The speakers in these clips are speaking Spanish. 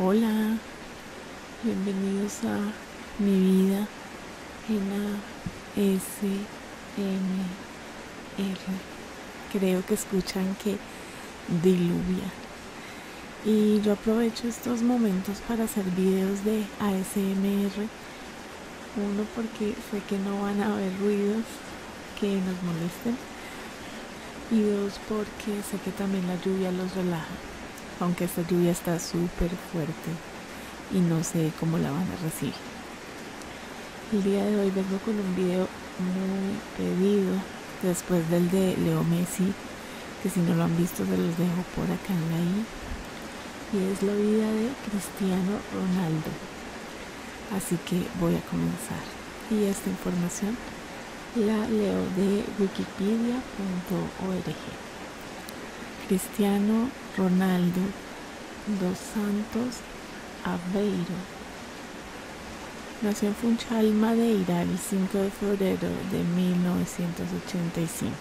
Hola, bienvenidos a mi vida en ASMR. Creo que escuchan que diluvia. Y yo aprovecho estos momentos para hacer videos de ASMR. Uno porque sé que no van a haber ruidos que nos molesten. Y dos porque sé que también la lluvia los relaja. Aunque esta lluvia está súper fuerte y no sé cómo la van a recibir. El día de hoy vengo con un video muy pedido después del de Leo Messi que si no lo han visto se los dejo por acá en la y es la vida de Cristiano Ronaldo así que voy a comenzar y esta información la leo de wikipedia.org Cristiano Ronaldo dos Santos Aveiro nació en Funchal, Madeira el 5 de febrero de 1985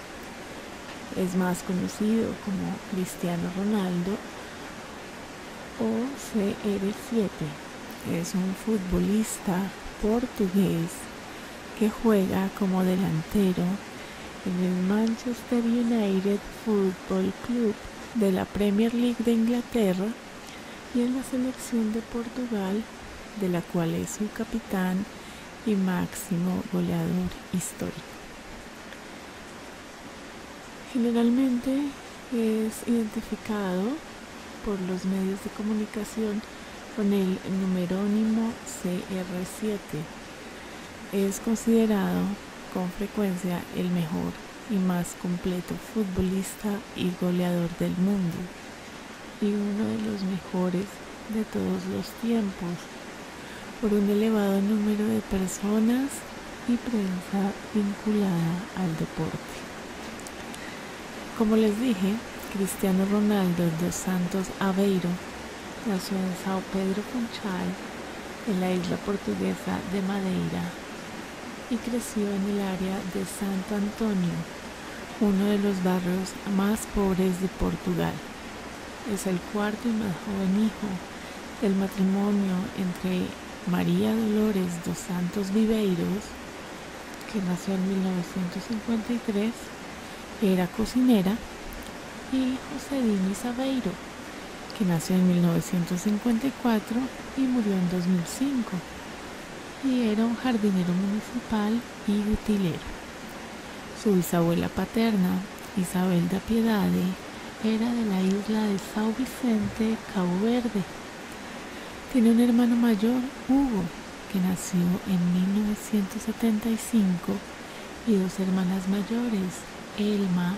es más conocido como Cristiano Ronaldo o CR7. Es un futbolista portugués que juega como delantero en el Manchester United Football Club de la Premier League de Inglaterra y en la selección de Portugal, de la cual es su capitán y máximo goleador histórico. Generalmente es identificado por los medios de comunicación con el numerónimo CR7. Es considerado con frecuencia el mejor y más completo futbolista y goleador del mundo y uno de los mejores de todos los tiempos por un elevado número de personas y prensa vinculada al deporte. Como les dije, Cristiano Ronaldo dos Santos Aveiro nació en São Pedro Conchal, en la isla portuguesa de Madeira, y creció en el área de Santo Antonio, uno de los barrios más pobres de Portugal. Es el cuarto y más joven hijo del matrimonio entre María Dolores dos Santos Viveiros, que nació en 1953, era cocinera, y José Dini Sabeiro, que nació en 1954 y murió en 2005, y era un jardinero municipal y utilero. Su bisabuela paterna, Isabel da Piedade, era de la isla de Sao Vicente, Cabo Verde. Tiene un hermano mayor, Hugo, que nació en 1975, y dos hermanas mayores, Elma,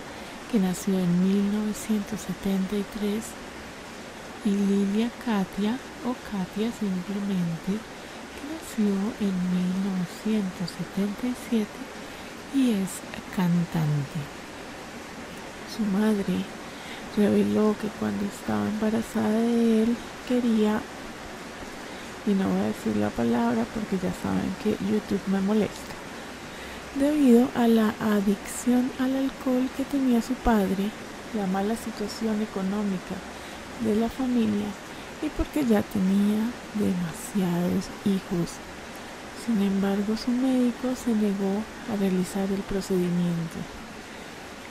que nació en 1973, y Lilia Katia, o Katia simplemente, nació en 1977 y es cantante. Su madre reveló que cuando estaba embarazada de él quería, y no voy a decir la palabra porque ya saben que YouTube me molesta, debido a la adicción al alcohol que tenía su padre, la mala situación económica de la familia y porque ya tenía demasiados hijos. Sin embargo, su médico se negó a realizar el procedimiento.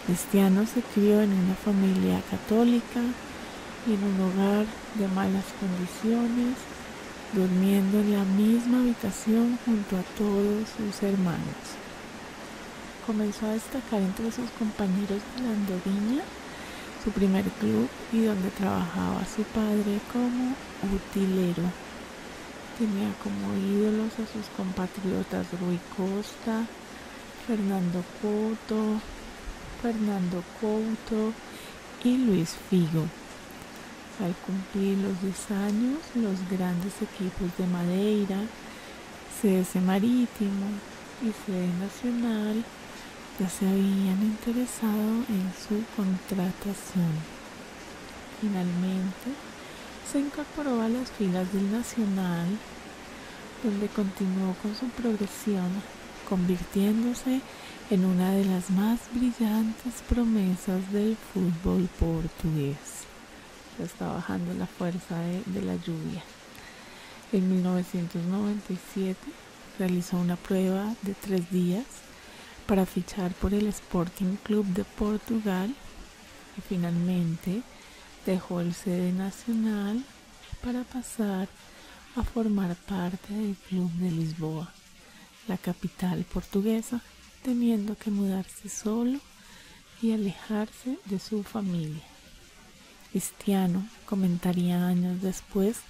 Cristiano se crió en una familia católica en un hogar de malas condiciones, durmiendo en la misma habitación junto a todos sus hermanos. Comenzó a destacar entre sus compañeros de la su primer club y donde trabajaba su padre como utilero. Tenía como ídolos a sus compatriotas Rui Costa, Fernando Couto, Fernando Couto y Luis Figo. Al cumplir los 10 años, los grandes equipos de Madeira, CS Marítimo y CD Nacional ya se habían interesado en su contratación. Finalmente, se incorporó a las filas del Nacional, donde continuó con su progresión, convirtiéndose en una de las más brillantes promesas del fútbol portugués. ya está pues bajando la fuerza de la lluvia. En 1997 realizó una prueba de tres días para fichar por el Sporting Club de Portugal y finalmente dejó el sede nacional para pasar a formar parte del Club de Lisboa, la capital portuguesa, teniendo que mudarse solo y alejarse de su familia. Cristiano comentaría años después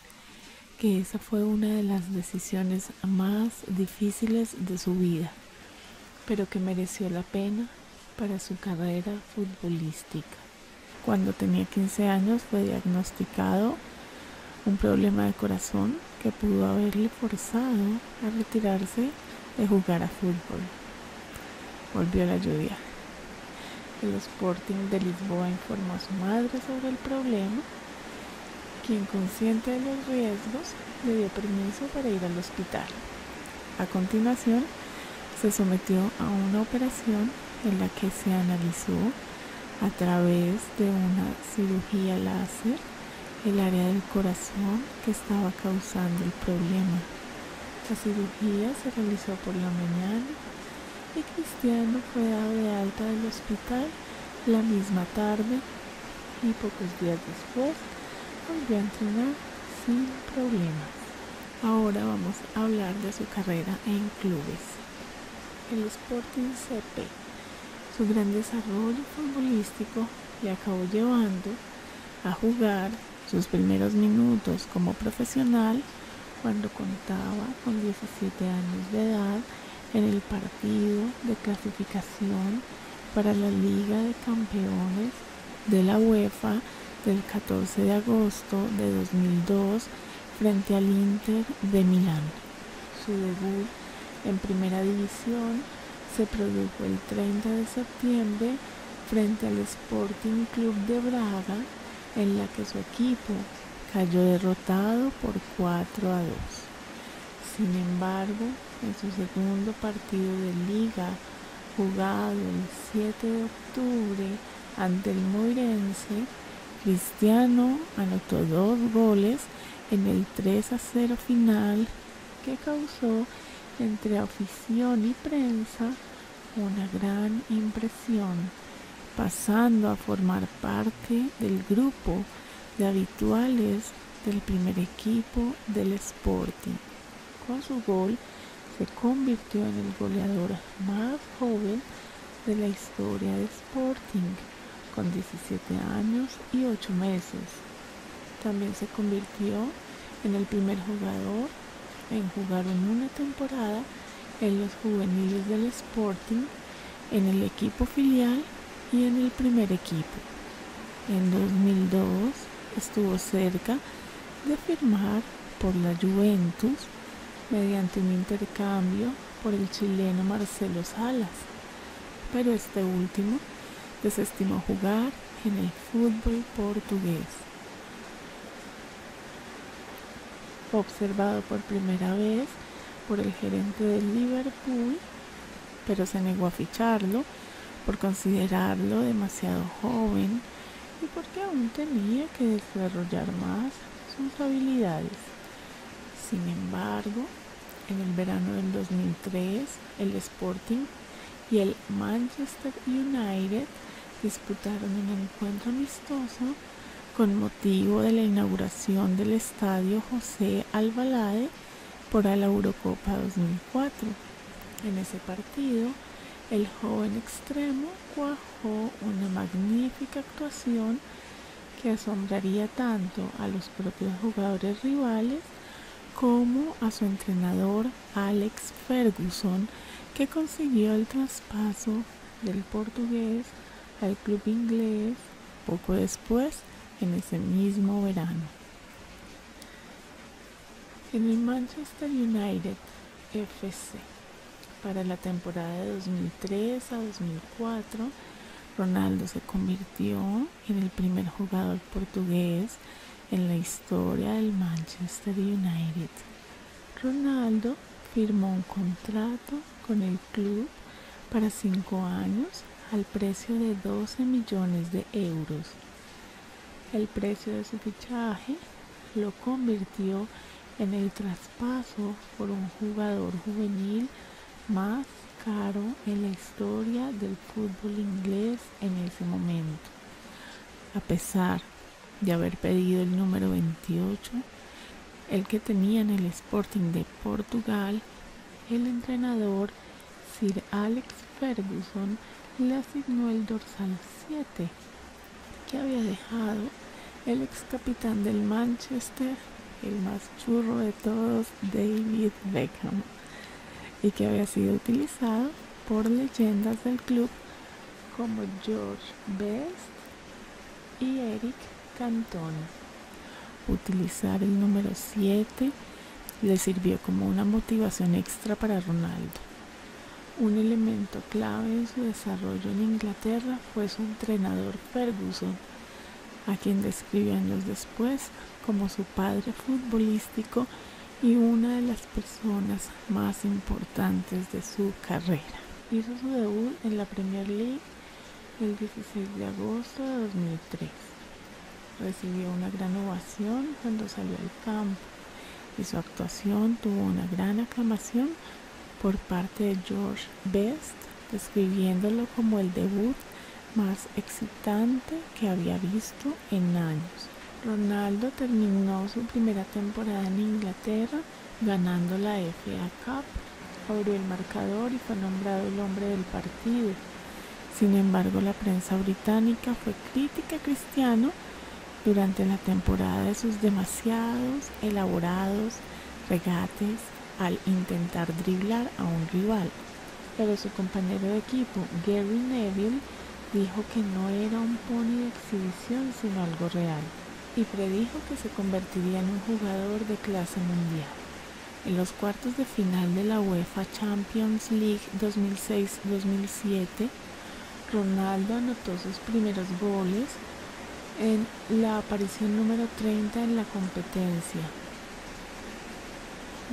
que esa fue una de las decisiones más difíciles de su vida, pero que mereció la pena para su carrera futbolística. Cuando tenía 15 años fue diagnosticado un problema de corazón que pudo haberle forzado a retirarse de jugar a fútbol. Volvió la lluvia. El Sporting de Lisboa informó a su madre sobre el problema, quien consciente de los riesgos le dio permiso para ir al hospital. A continuación, se sometió a una operación en la que se analizó a través de una cirugía láser el área del corazón que estaba causando el problema se realizó por la mañana y Cristiano fue dado de alta del hospital la misma tarde y pocos días después volvió a entrenar sin problemas. Ahora vamos a hablar de su carrera en clubes. El Sporting CP, su gran desarrollo futbolístico le acabó llevando a jugar sus primeros minutos como profesional, cuando contaba con 17 años de edad, en el partido de clasificación para la Liga de Campeones de la UEFA del 14 de agosto de 2002 frente al Inter de Milán. Su debut en primera división se produjo el 30 de septiembre frente al Sporting Club de Braga en la que su equipo cayó derrotado por 4 a 2. Sin embargo, en su segundo partido de liga, jugado el 7 de octubre ante el Moirense, Cristiano anotó dos goles en el 3 a 0 final que causó entre afición y prensa una gran impresión, pasando a formar parte del grupo de habituales del primer equipo del Sporting. Con su gol se convirtió en el goleador más joven de la historia de Sporting, con 17 años y 8 meses. También se convirtió en el primer jugador en jugar una temporada en los juveniles del Sporting, en el equipo filial y en el primer equipo. En 2002 estuvo cerca de firmar por la Juventus mediante un intercambio por el chileno Marcelo Salas, pero este último desestimó jugar en el fútbol portugués observado por primera vez por el gerente del Liverpool, pero se negó a ficharlo por considerarlo demasiado joven y porque aún tenía que desarrollar más sus habilidades. Sin embargo, en el verano del 2003, el Sporting y el Manchester United disputaron un encuentro amistoso con motivo de la inauguración del Estadio José Albalade por la Eurocopa 2004. En ese partido, el joven extremo cuajó una magnífica actuación que asombraría tanto a los propios jugadores rivales como a su entrenador Alex Ferguson, que consiguió el traspaso del portugués al club inglés poco después, en ese mismo verano. En el Manchester United FC, para la temporada de 2003 a 2004, Ronaldo se convirtió en el primer jugador portugués en la historia del Manchester United Ronaldo firmó un contrato con el club para cinco años al precio de 12 millones de euros. El precio de su fichaje lo convirtió en el traspaso por un jugador juvenil más caro en la historia del fútbol inglés en ese momento. A pesar de haber pedido el número 28, el que tenía en el Sporting de Portugal, el entrenador Sir Alex Ferguson le asignó el dorsal 7 que había dejado el ex capitán del Manchester, el más churro de todos, David Beckham, y que había sido utilizado por leyendas del club como George Best y Eric Cantona. Utilizar el número 7 le sirvió como una motivación extra para Ronaldo. Un elemento clave en su desarrollo en Inglaterra fue su entrenador Ferguson, a quien describió los después como su padre futbolístico y una de las personas más importantes de su carrera. Hizo su debut en la Premier League el 16 de agosto de 2003. Recibió una gran ovación cuando salió al campo y su actuación tuvo una gran aclamación por parte de George Best, describiéndolo como el debut más excitante que había visto en años. Ronaldo terminó su primera temporada en Inglaterra ganando la FA Cup, abrió el marcador y fue nombrado el hombre del partido. Sin embargo, la prensa británica fue crítica a Cristiano durante la temporada de sus demasiados elaborados regates al intentar driblar a un rival. Pero su compañero de equipo, Gary Neville, dijo que no era un pony de exhibición sino algo real, y predijo que se convertiría en un jugador de clase mundial. En los cuartos de final de la UEFA Champions League 2006-2007, Ronaldo anotó sus primeros goles en la aparición número 30 en la competencia.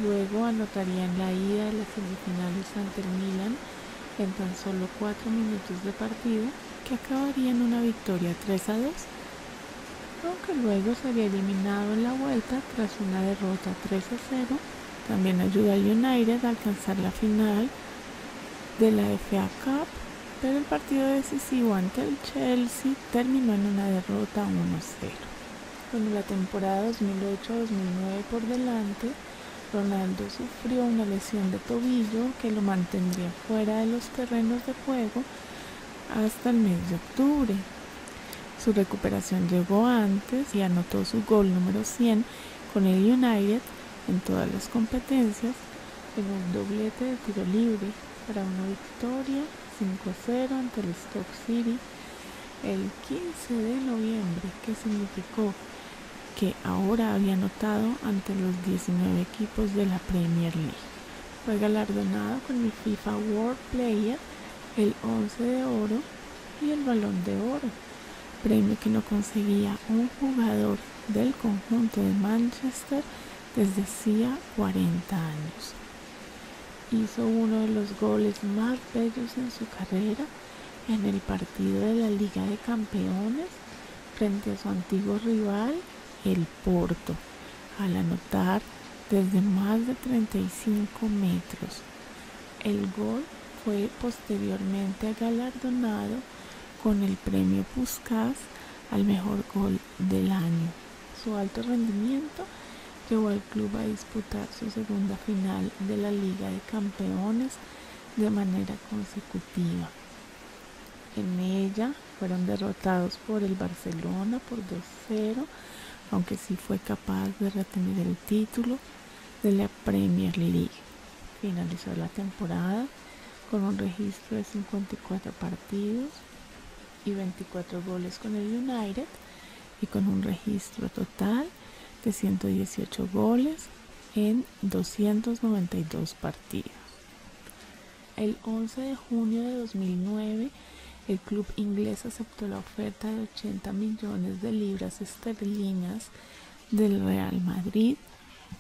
Luego anotaría en la ida de las semifinales ante el Milan en tan solo 4 minutos de partido que acabaría en una victoria 3 a 2, aunque luego sería eliminado en la vuelta tras una derrota 3 a 0, también ayuda a United a alcanzar la final de la FA Cup, pero el partido decisivo ante el Chelsea terminó en una derrota 1 a 0. Con la temporada 2008-2009 por delante, Ronaldo sufrió una lesión de tobillo que lo mantendría fuera de los terrenos de juego hasta el mes de octubre. Su recuperación llegó antes y anotó su gol número 100 con el United en todas las competencias en un doblete de tiro libre para una victoria 5-0 ante el Stoke City el 15 de noviembre, que significó que ahora había anotado ante los 19 equipos de la Premier League. Fue galardonado con mi FIFA World Player, el 11 de oro y el balón de oro, premio que no conseguía un jugador del conjunto de Manchester desde hacía 40 años. Hizo uno de los goles más bellos en su carrera en el partido de la Liga de Campeones frente a su antiguo rival, el Porto, al anotar desde más de 35 metros. El gol fue posteriormente galardonado con el premio Puskás al mejor gol del año. Su alto rendimiento llevó al club a disputar su segunda final de la Liga de Campeones de manera consecutiva. En ella fueron derrotados por el Barcelona por 2-0, aunque sí fue capaz de retener el título de la Premier League. Finalizó la temporada con un registro de 54 partidos y 24 goles con el United y con un registro total de 118 goles en 292 partidos. El 11 de junio de 2009, el club inglés aceptó la oferta de 80 millones de libras esterlinas del Real Madrid,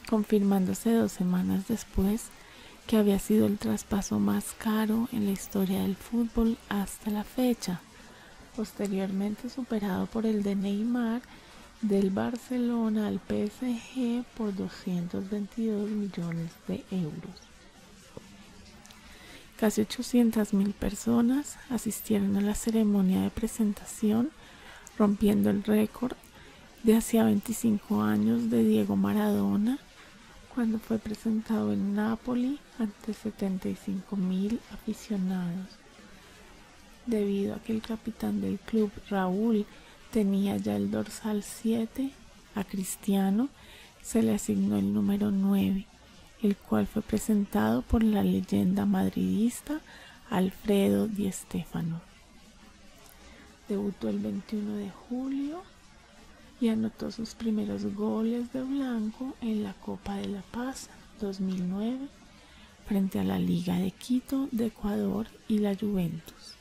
confirmándose dos semanas después que había sido el traspaso más caro en la historia del fútbol hasta la fecha, posteriormente superado por el de Neymar del Barcelona al PSG por 222 millones de euros. Casi mil personas asistieron a la ceremonia de presentación, rompiendo el récord de hacía 25 años de Diego Maradona, cuando fue presentado en Nápoli ante mil aficionados. Debido a que el capitán del club, Raúl, tenía ya el dorsal 7, a Cristiano se le asignó el número 9, el cual fue presentado por la leyenda madridista Alfredo Di Stéfano. Debutó el 21 de julio y anotó sus primeros goles de blanco en la Copa de la Paz 2009, frente a la Liga de Quito de Ecuador y la Juventus.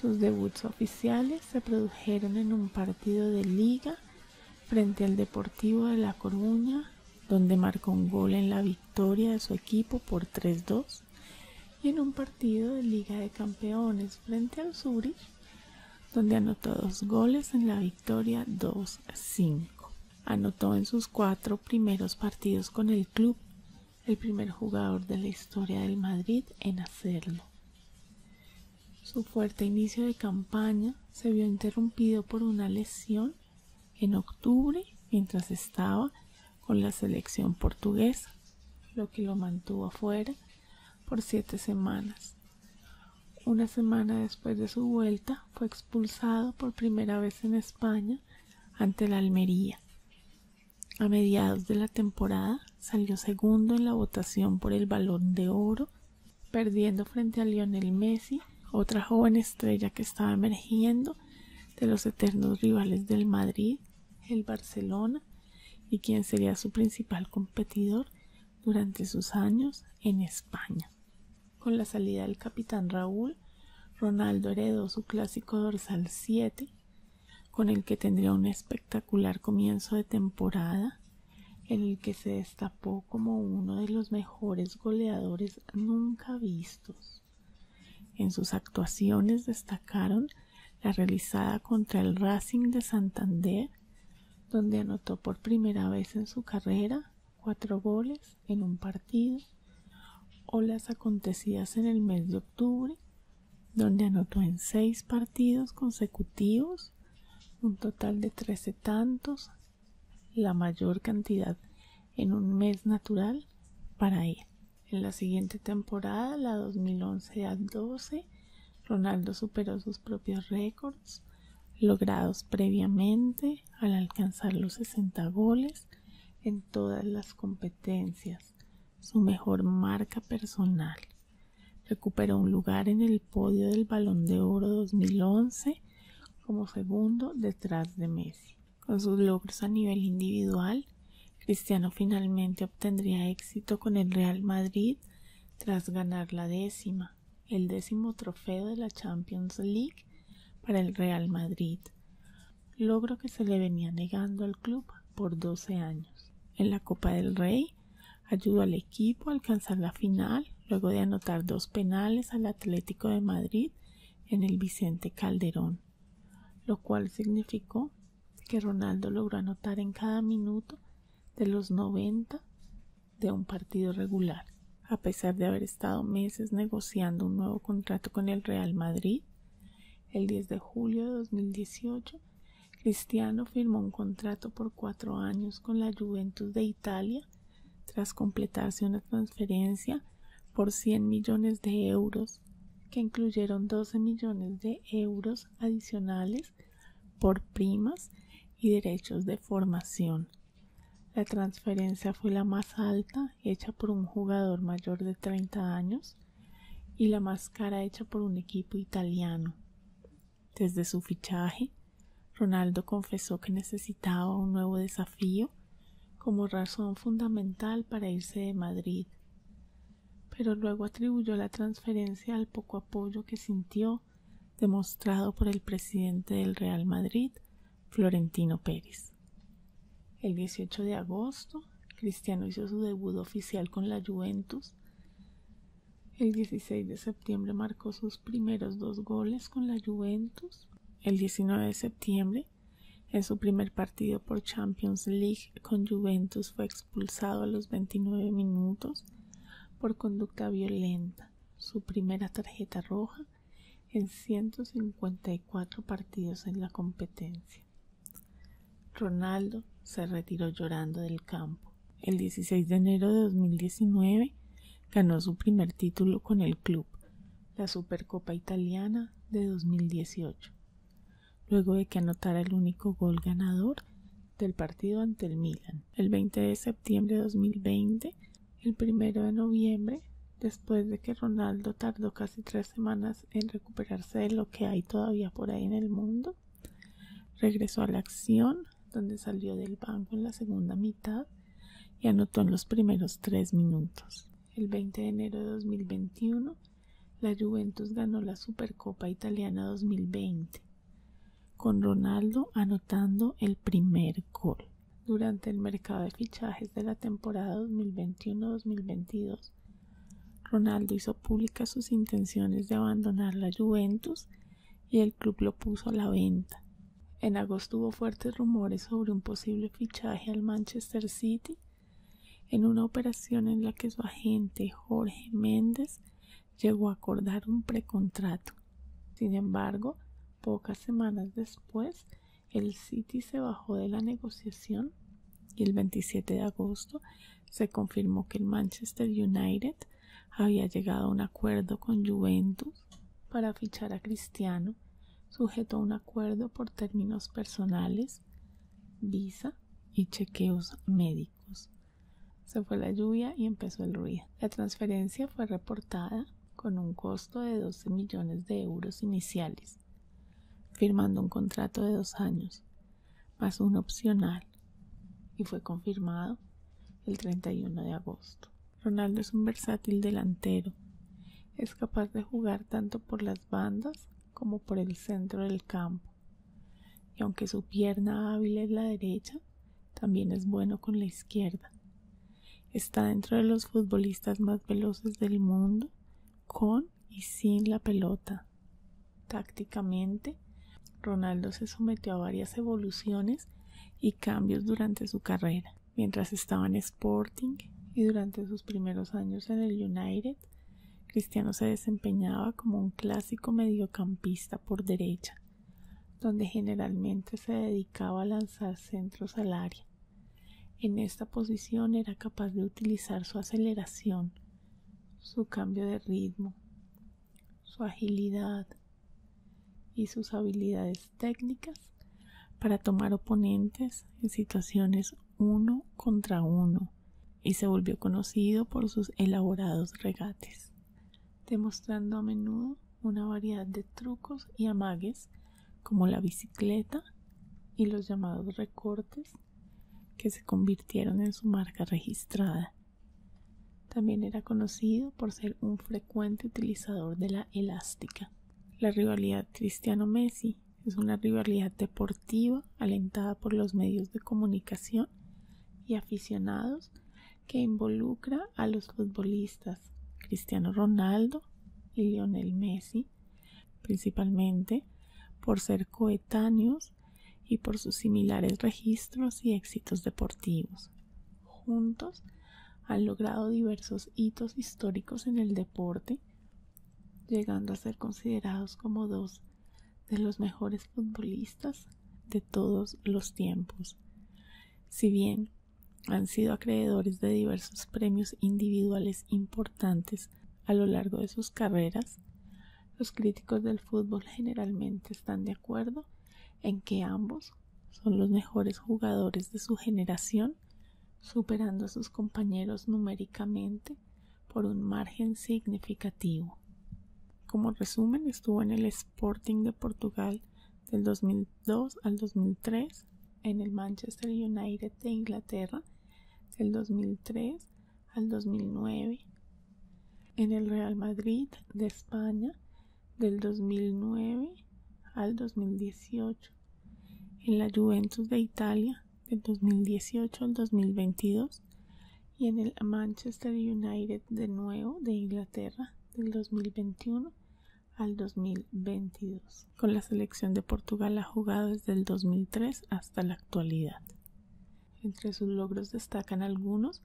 Sus debuts oficiales se produjeron en un partido de liga frente al Deportivo de La Coruña, donde marcó un gol en la victoria de su equipo por 3-2, y en un partido de Liga de Campeones frente al Zurich, donde anotó dos goles en la victoria 2-5. Anotó en sus cuatro primeros partidos con el club, el primer jugador de la historia del Madrid en hacerlo. Su fuerte inicio de campaña se vio interrumpido por una lesión en octubre mientras estaba con la selección portuguesa, lo que lo mantuvo afuera por siete semanas. Una semana después de su vuelta fue expulsado por primera vez en España ante la Almería. A mediados de la temporada salió segundo en la votación por el Balón de Oro, perdiendo frente a Lionel Messi, otra joven estrella que estaba emergiendo de los eternos rivales del Madrid, el Barcelona, y quien sería su principal competidor durante sus años en España. Con la salida del capitán Raúl, Ronaldo heredó su clásico dorsal siete, con el que tendría un espectacular comienzo de temporada, en el que se destapó como uno de los mejores goleadores nunca vistos. En sus actuaciones destacaron la realizada contra el Racing de Santander, donde anotó por primera vez en su carrera cuatro goles en un partido, o las acontecidas en el mes de octubre, donde anotó en seis partidos consecutivos un total de trece tantos, la mayor cantidad en un mes natural para él. En la siguiente temporada, la 2011 a 12, Ronaldo superó sus propios récords logrados previamente al alcanzar los 60 goles en todas las competencias, su mejor marca personal. Recuperó un lugar en el podio del Balón de Oro 2011 como segundo detrás de Messi. Con sus logros a nivel individual, Cristiano finalmente obtendría éxito con el Real Madrid tras ganar la décima, el décimo trofeo de la Champions League para el Real Madrid logro que se le venía negando al club por doce años. En la Copa del Rey ayudó al equipo a alcanzar la final luego de anotar dos penales al Atlético de Madrid en el Vicente Calderón, lo cual significó que Ronaldo logró anotar en cada minuto de los noventa de un partido regular a pesar de haber estado meses negociando un nuevo contrato con el Real Madrid, el 10 de julio de 2018, Cristiano firmó un contrato por cuatro años con la Juventus de Italia tras completarse una transferencia por 100 millones de euros, que incluyeron 12 millones de euros adicionales por primas y derechos de formación. La transferencia fue la más alta hecha por un jugador mayor de 30 años y la más cara hecha por un equipo italiano. Desde su fichaje, Ronaldo confesó que necesitaba un nuevo desafío como razón fundamental para irse de Madrid, pero luego atribuyó la transferencia al poco apoyo que sintió demostrado por el presidente del Real Madrid, Florentino Pérez. El 18 de agosto, Cristiano hizo su debut oficial con la Juventus. El 16 de septiembre marcó sus primeros dos goles con la Juventus. El 19 de septiembre, en su primer partido por Champions League con Juventus, fue expulsado a los 29 minutos por conducta violenta, su primera tarjeta roja en 154 partidos en la competencia. Ronaldo se retiró llorando del campo. El 16 de enero de 2019 ganó su primer título con el club, la Supercopa Italiana de 2018, luego de que anotara el único gol ganador del partido ante el Milan. El 20 de septiembre de 2020 el primero de noviembre, después de que Ronaldo tardó casi tres semanas en recuperarse de lo que hay todavía por ahí en el mundo, regresó a la acción, donde salió del banco en la segunda mitad y anotó en los primeros tres minutos. El 20 de enero de 2021, la Juventus ganó la Supercopa Italiana 2020, con Ronaldo anotando el primer gol durante el mercado de fichajes de la temporada 2021-2022, Ronaldo hizo públicas sus intenciones de abandonar la Juventus y el club lo puso a la venta. En agosto hubo fuertes rumores sobre un posible fichaje al Manchester City en una operación en la que su agente Jorge Méndez llegó a acordar un precontrato. Sin embargo, pocas semanas después, el City se bajó de la negociación y el 27 de agosto se confirmó que el Manchester United había llegado a un acuerdo con Juventus para fichar a Cristiano, sujeto a un acuerdo por términos personales, visa y chequeos médicos. Se fue la lluvia y empezó el ruido. La transferencia fue reportada con un costo de 12 millones de euros iniciales, firmando un contrato de dos años, más un opcional, y fue confirmado el 31 de agosto. Ronaldo es un versátil delantero, es capaz de jugar tanto por las bandas como por el centro del campo, y aunque su pierna hábil es la derecha, también es bueno con la izquierda. Está dentro de los futbolistas más veloces del mundo, con y sin la pelota. Tácticamente, Ronaldo se sometió a varias evoluciones y cambios durante su carrera. Mientras estaba en Sporting y durante sus primeros años en el United, Cristiano se desempeñaba como un clásico mediocampista por derecha, donde generalmente se dedicaba a lanzar centros al área. En esta posición era capaz de utilizar su aceleración, su cambio de ritmo, su agilidad y sus habilidades técnicas para tomar oponentes en situaciones uno contra uno y se volvió conocido por sus elaborados regates, demostrando a menudo una variedad de trucos y amagues como la bicicleta y los llamados recortes que se convirtieron en su marca registrada. También era conocido por ser un frecuente utilizador de la elástica. La rivalidad Cristiano-Messi es una rivalidad deportiva alentada por los medios de comunicación y aficionados que involucra a los futbolistas Cristiano Ronaldo y Lionel Messi, principalmente por ser coetáneos y por sus similares registros y éxitos deportivos. Juntos han logrado diversos hitos históricos en el deporte, llegando a ser considerados como dos de los mejores futbolistas de todos los tiempos. Si bien han sido acreedores de diversos premios individuales importantes a lo largo de sus carreras, los críticos del fútbol generalmente están de acuerdo en que ambos son los mejores jugadores de su generación, superando a sus compañeros numéricamente por un margen significativo. Como resumen, estuvo en el Sporting de Portugal del 2000 2002 al 2003 en el Manchester United de Inglaterra del 2003 al 2009, en el Real Madrid de España del 2009 al 2018, en la Juventus de Italia del 2018 al 2022 y en el Manchester United de nuevo de Inglaterra del 2021 al 2022. Con la selección de Portugal ha jugado desde el 2003 hasta la actualidad. Entre sus logros destacan algunos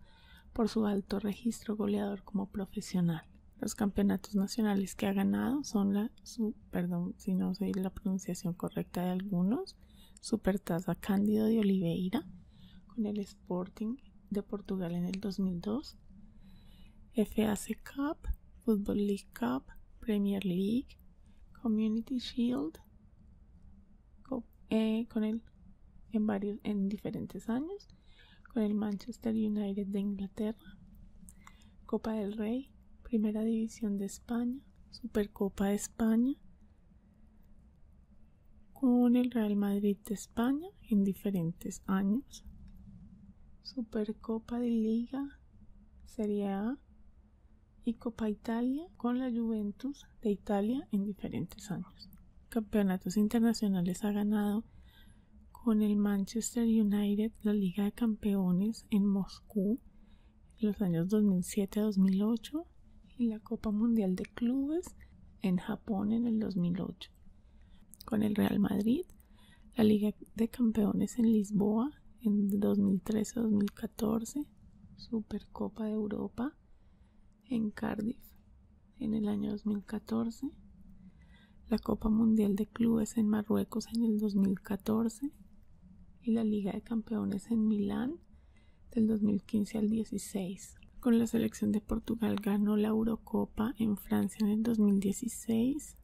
por su alto registro goleador como profesional. Los campeonatos nacionales que ha ganado son la, perdón si no soy la pronunciación correcta de algunos, Supertaza Cándido de Oliveira con el Sporting de Portugal en el 2002, FAC Cup, Football League Cup, Premier League, Community Shield, eh, con el, en, en diferentes años, con el Manchester United de Inglaterra, Copa del Rey, Primera División de España, Supercopa de España, con el Real Madrid de España en diferentes años, Supercopa de Liga Serie A y Copa Italia con la Juventus de Italia en diferentes años. Campeonatos internacionales ha ganado con el Manchester United la Liga de Campeones en Moscú en los años 2007-2008 y la Copa Mundial de Clubes en Japón en el 2008. Con el Real Madrid la Liga de Campeones en Lisboa en 2013-2014, Supercopa de Europa en Cardiff en el año 2014, la Copa Mundial de Clubes en Marruecos en el 2014 y la Liga de Campeones en Milán del 2015 al 2016 Con la selección de Portugal ganó la Eurocopa en Francia en el 2016,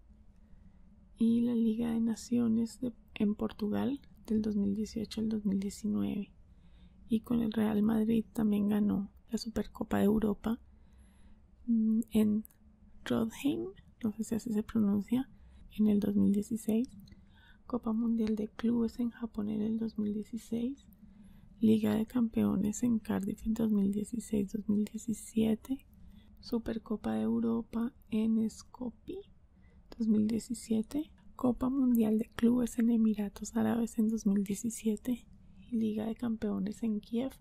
y la Liga de Naciones en Portugal del 2018 al 2019 y con el Real Madrid también ganó la Supercopa de Europa mm, en Rodheim, no sé si así se pronuncia, en el 2016, Copa Mundial de Clubes en Japón en el 2016, Liga de Campeones en Cardiff en 2016-2017, Supercopa de Europa en Skopje 2017, Copa Mundial de Clubes en Emiratos Árabes en 2017 Liga de Campeones en Kiev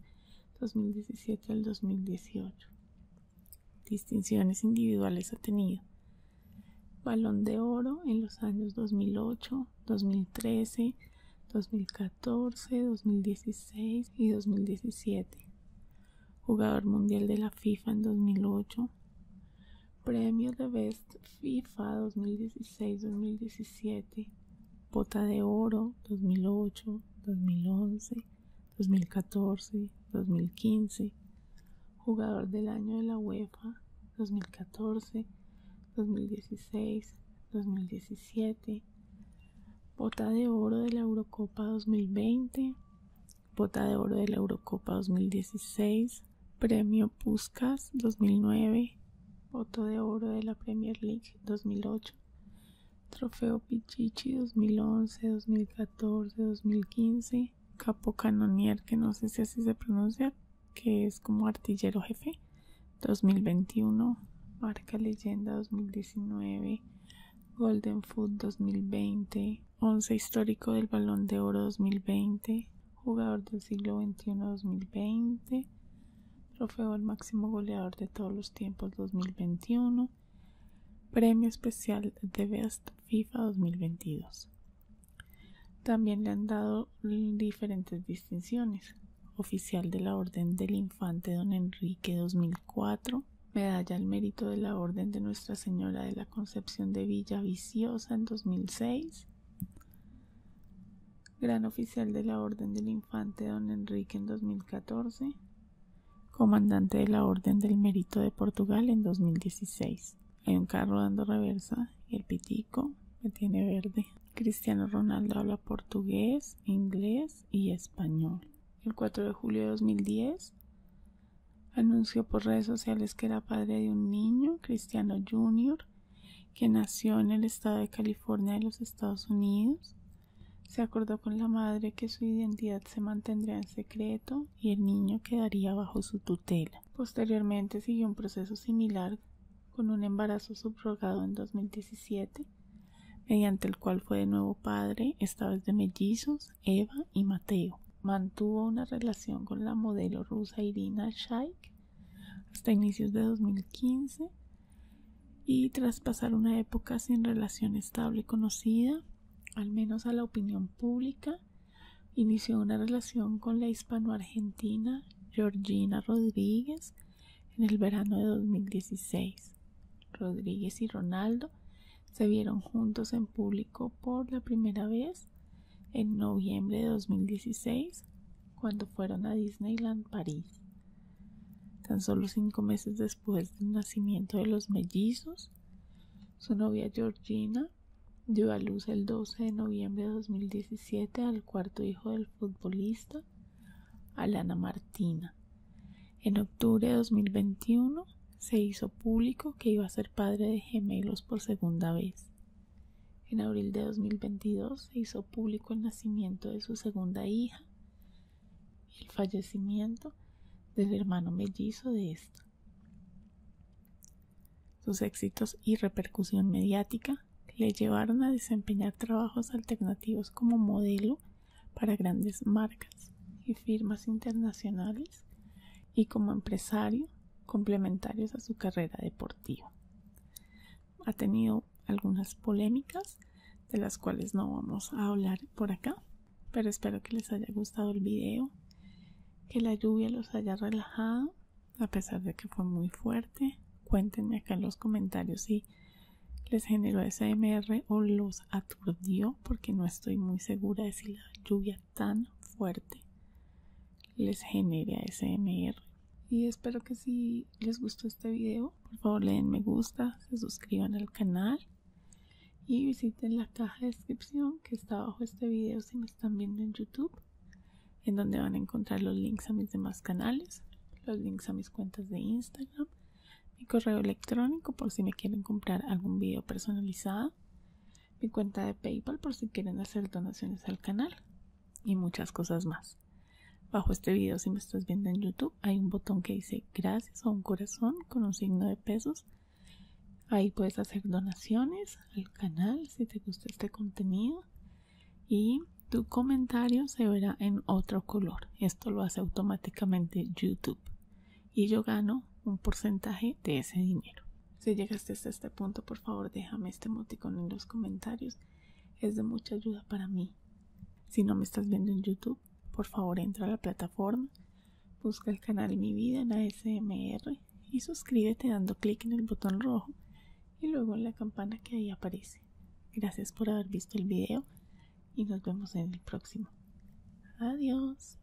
2017 al 2018. Distinciones individuales ha tenido. Balón de Oro en los años 2008, 2013, 2014. 2014, 2016 y 2017. Jugador mundial de la FIFA en 2008. Premio de Best FIFA 2016-2017. Bota de Oro 2008, 2011, 2014, 2015. Jugador del año de la UEFA 2014, 2016, 2017 bota de oro de la Eurocopa 2020, bota de oro de la Eurocopa 2016, premio Puskas 2009, bota de oro de la Premier League 2008, trofeo Pichichi 2011, 2014, 2015, capo canonier que no sé si así se pronuncia, que es como artillero jefe 2021, marca leyenda 2019, Golden Foot 2020, Once histórico del Balón de Oro 2020, jugador del siglo XXI 2020, trofeo al máximo goleador de todos los tiempos 2021, premio especial de Best FIFA 2022. También le han dado diferentes distinciones. Oficial de la Orden del Infante Don Enrique 2020 medalla al mérito de la Orden de Nuestra Señora de la Concepción de Villa Viciosa en 2006, Gran Oficial de la Orden del Infante Don Enrique en 2014, Comandante de la Orden del Mérito de Portugal en 2016. Hay un carro dando reversa y el pitico me tiene verde. Cristiano Ronaldo habla portugués, inglés y español el 4 de julio de 2010. Anunció por redes sociales que era padre de un niño, Cristiano Jr., que nació en el estado de California de los Estados Unidos. Se acordó con la madre que su identidad se mantendría en secreto y el niño quedaría bajo su tutela. Posteriormente siguió un proceso similar con un embarazo subrogado en 2017 mediante el cual fue de nuevo padre, esta vez de mellizos, Eva y Mateo. Mantuvo una relación con la modelo rusa Irina Shayk hasta inicios de 2015 y tras pasar una época sin relación estable conocida, al menos a la opinión pública, inició una relación con la hispano-argentina Georgina Rodríguez, en el verano de 2016, Rodríguez y Ronaldo se vieron juntos en público por la primera vez en noviembre de 2016 cuando fueron a Disneyland París. Tan solo cinco meses después del nacimiento de los mellizos, su novia Georgina dio a luz el 12 de noviembre de 2017 al cuarto hijo del futbolista Alana Martina. En octubre de 2021 se hizo público que iba a ser padre de gemelos por segunda vez. En abril de 2022 se hizo público el nacimiento de su segunda hija y el fallecimiento del hermano mellizo de esta. Sus éxitos y repercusión mediática le llevaron a desempeñar trabajos alternativos como modelo para grandes marcas y firmas internacionales y como empresario complementarios a su carrera deportiva. Ha tenido algunas polémicas de las cuales no vamos a hablar por acá, pero espero que les haya gustado el video, que la lluvia los haya relajado, a pesar de que fue muy fuerte. Cuéntenme acá en los comentarios si les generó SMR o los aturdió porque no estoy muy segura de si la lluvia tan fuerte les genera SMR y espero que si les gustó este video por favor le den me gusta se suscriban al canal y visiten la caja de descripción que está abajo este video si me están viendo en youtube en donde van a encontrar los links a mis demás canales los links a mis cuentas de instagram mi correo electrónico por si me quieren comprar algún video personalizado, mi cuenta de PayPal por si quieren hacer donaciones al canal y muchas cosas más. Bajo este video, si me estás viendo en YouTube, hay un botón que dice gracias o un corazón con un signo de pesos. Ahí puedes hacer donaciones al canal si te gusta este contenido y tu comentario se verá en otro color esto lo hace automáticamente YouTube y yo gano un porcentaje de ese dinero. Si llegaste hasta este punto, por favor déjame este emoticón en los comentarios. Es de mucha ayuda para mí. Si no me estás viendo en YouTube, por favor entra a la plataforma, busca el canal Mi Vida en ASMR y suscríbete dando clic en el botón rojo y luego en la campana que ahí aparece. Gracias por haber visto el video y nos vemos en el próximo. Adiós.